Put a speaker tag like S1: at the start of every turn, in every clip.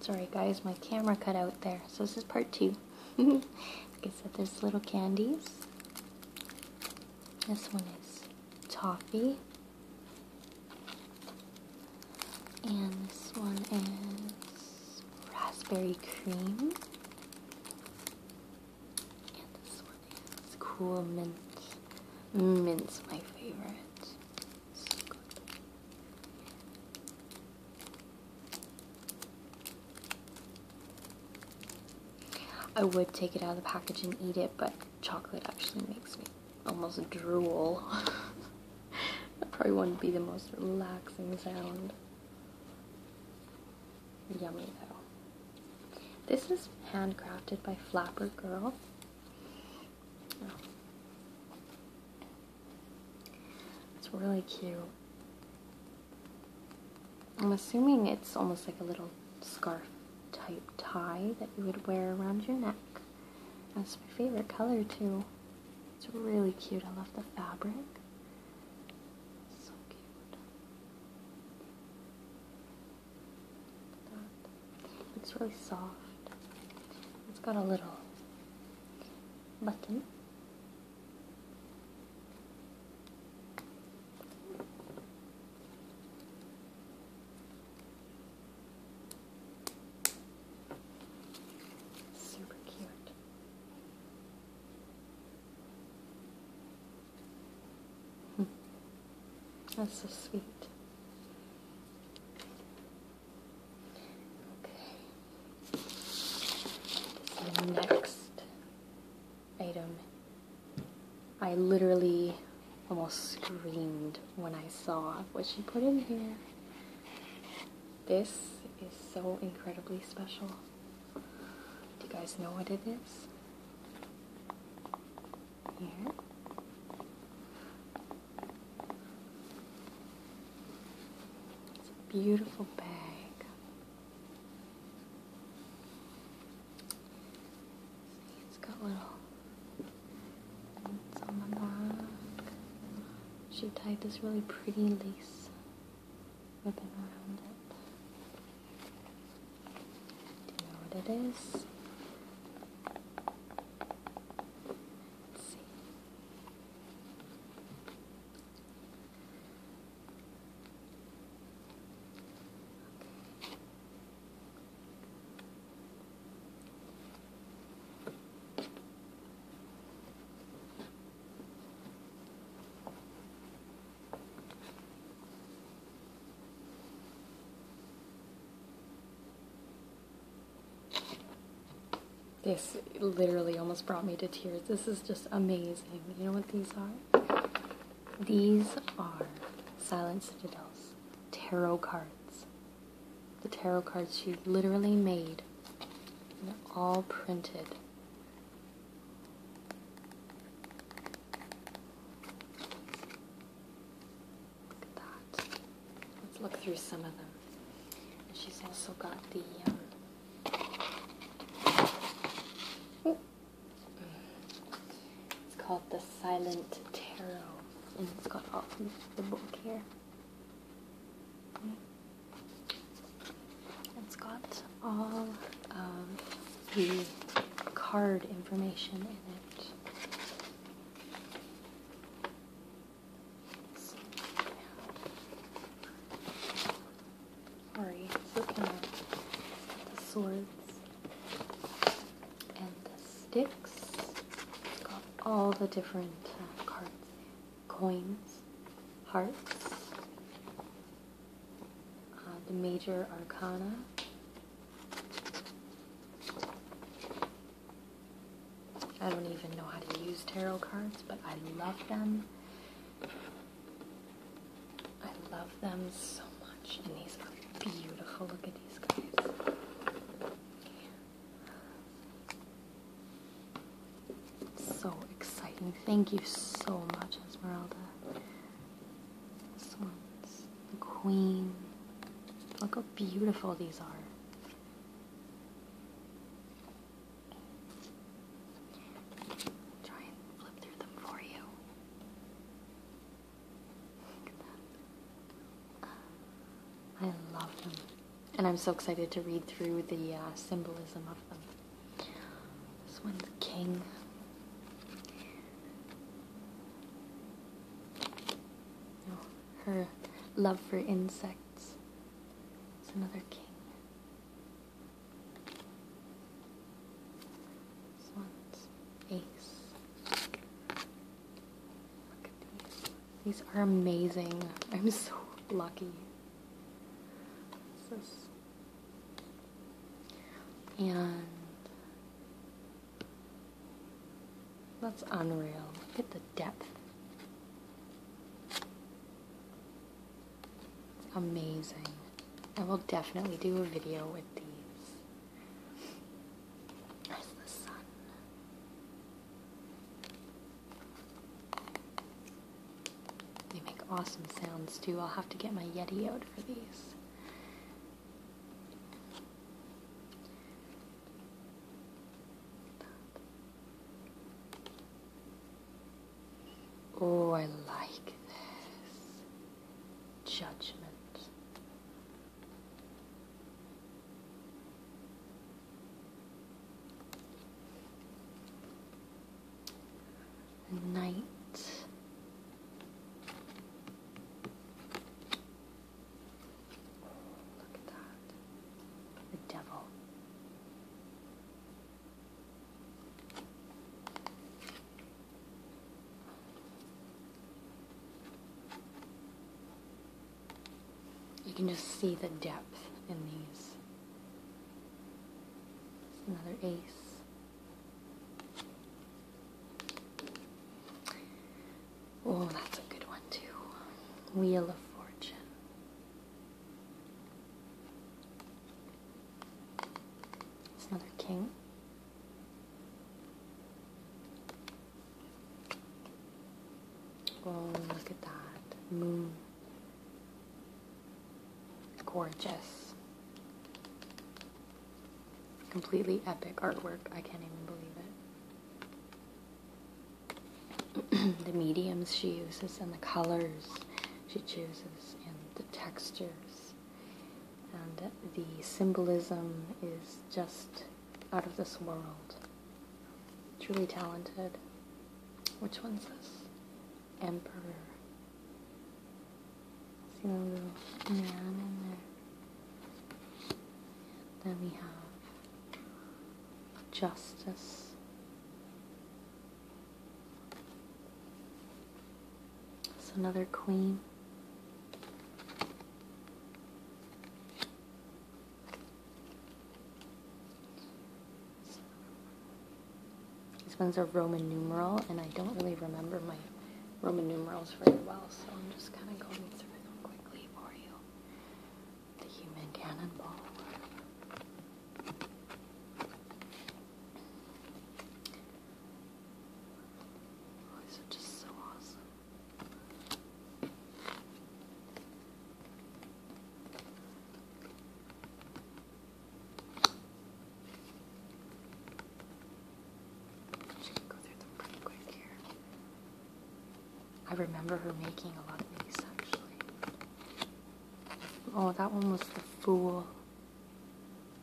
S1: Sorry guys, my camera cut out there. So this is part two. like I said, there's little candies. This one is toffee. And this one is raspberry cream. And this one is cool mint. Mint's my favorite. I would take it out of the package and eat it, but chocolate actually makes me almost drool. that probably wouldn't be the most relaxing sound. Yummy though. This is handcrafted by Flapper Girl. Oh. It's really cute. I'm assuming it's almost like a little scarf type tie that you would wear around your neck. That's my favorite color too. It's really cute. I love the fabric. So cute it's really soft. It's got a little button. Super cute. Hmm. That's so sweet. Okay. next item. I literally almost screamed when I saw what she put in here. This is so incredibly special. Do you guys know what it is? here. It's a beautiful bag. it's got little on the back. She tied this really pretty lace ribbon around it. Do you know what it is? Let's see. This literally almost brought me to tears. This is just amazing. You know what these are? These are Silent Citadel's tarot cards. The tarot cards she literally made and all printed. Look at that. Let's look through some of them. she's also got the. Um, it's called the Silent Tarot, and it's got all the book here. Mm. It's got all of the card information in it. Sorry, looking at the swords and the sticks. got all the different uh, cards, coins, hearts, uh, the major arcana. I don't even know how to use tarot cards, but I love them. I love them so much, and these are beautiful. Look at these guys. So exciting. Thank you so much, Esmeralda. This one's the queen. Look how beautiful these are. Try and flip through them for you. I love them. And I'm so excited to read through the uh, symbolism of them. This one's king. Oh, her love for insects. It's another king. This one's ace. Look at these. These are amazing. I'm so lucky. this? And that's unreal. Look at the depth. amazing. I will definitely do a video with these. There's the sun. They make awesome sounds too. I'll have to get my Yeti out for these. Oh, I like this. Judgment night. Look at that. The devil. You can just see the depth in these. Another ace. Oh, that's a good one too. Wheel of Fortune. another king. Oh, look at that. Moon gorgeous. Completely epic artwork. I can't even believe it. the mediums she uses and the colors she chooses and the textures and the symbolism is just out of this world. Truly talented. Which one's this? Emperor. See the little man in there. Then we have justice. It's another queen. This one's a Roman numeral, and I don't really remember my Roman numerals very well, so I'm just kind of going through them quickly for you. The human cannonball. Oh, these are just so awesome. I remember her making a lot of these actually. Oh, that one was the fool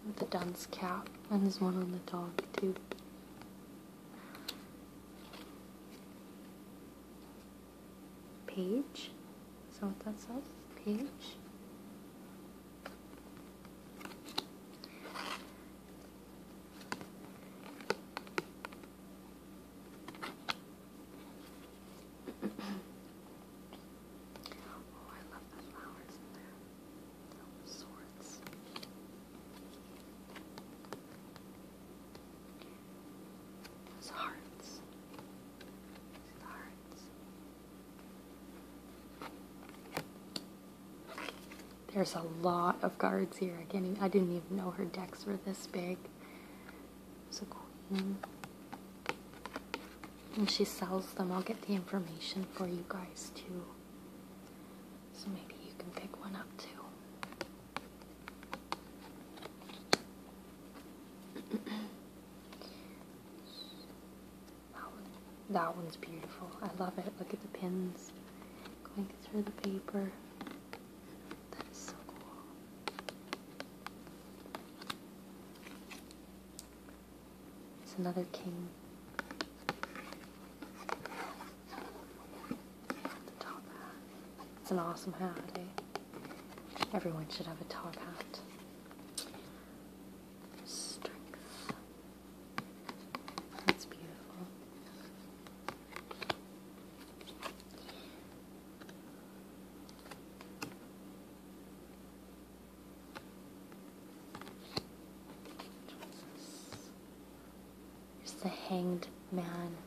S1: with the dunce cap, and there's one on the dog too page. So that all, page. oh, I love the flowers there. Those swords hearts. hearts. There's a lot of cards here. I I didn't even know her decks were this big. It's a queen. And she sells them. I'll get the information for you guys too. So maybe you can pick one up too. That one's beautiful. I love it. Look at the pins going through the paper. That is so cool. It's another king. It's an awesome hat, Everyone should have a top hat. That's beautiful is the hanged man.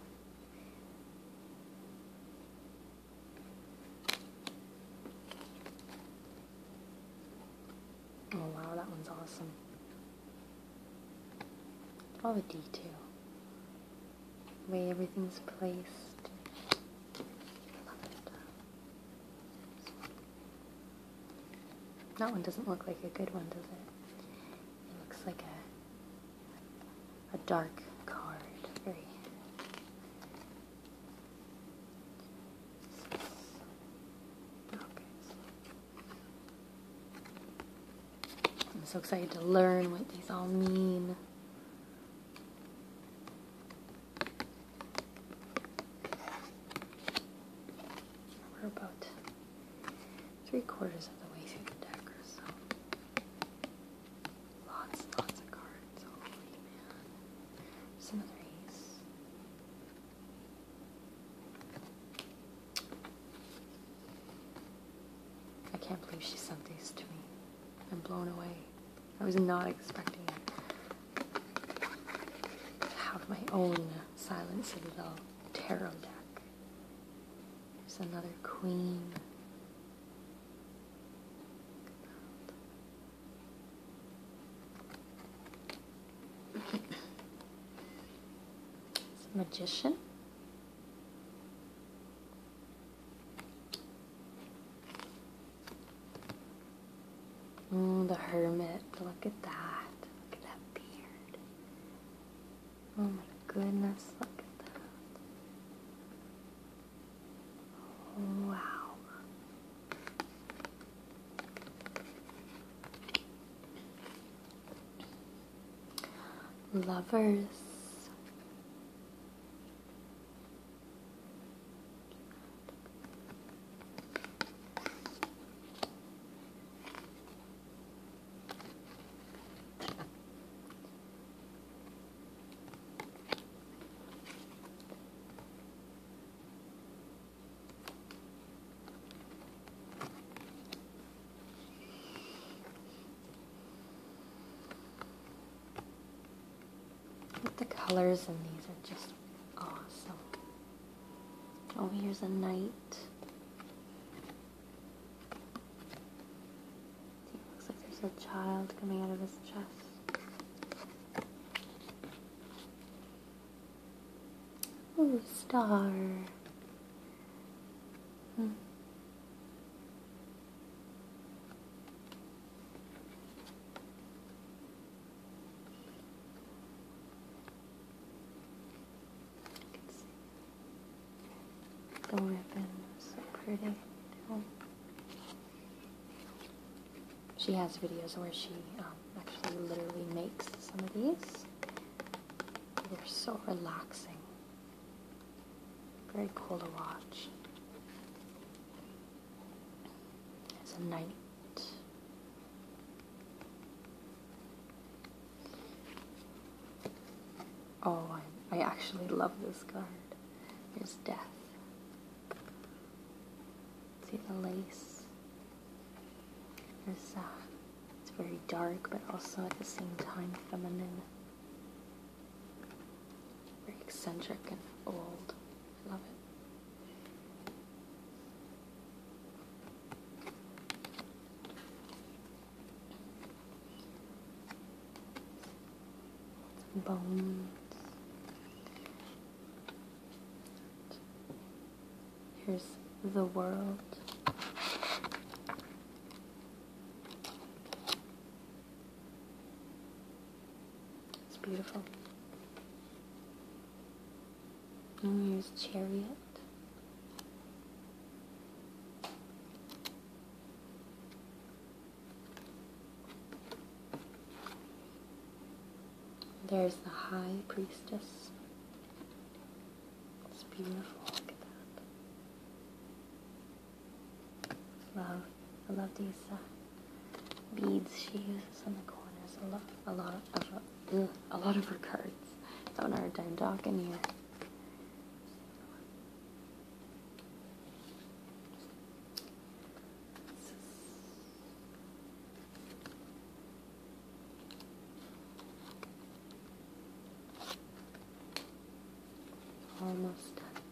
S1: Oh wow, that one's awesome. All the detail. The way everything's placed. I love it. That one doesn't look like a good one, does it? It looks like a, a dark card. okay. I'm so excited to learn what these all mean. Robot three quarters of the way through the deck or so. Lots lots of cards. Holy oh, man. There's another ace. I can't believe she sent these to me. I'm blown away. I was not expecting it. to have my own Silent Citadel tarot deck. There's another queen. a magician. Oh, the hermit. Look at that. Look at that beard. Oh my goodness, look at that. Oh, wow. Lovers the colors in these are just awesome. Oh, here's a knight. looks like there's a child coming out of his chest. Ooh, star. Hmm. You can see the ribbon, so pretty. She has videos where she um, actually literally makes some of these. They're so relaxing. Very cool to watch. It's a knight. Oh, I, I actually love this card. There's death. See the lace? There's, uh, it's very dark, but also at the same time feminine. Very eccentric and old. I love it. bones. Here's the world. It's beautiful. And there's Chariot. There's the High Priestess. It's beautiful. Look at that. Love. I love these beads she uses in the corners. A lot, a lot of, her, a lot of her cards. It's on our dime dock in here. almost done.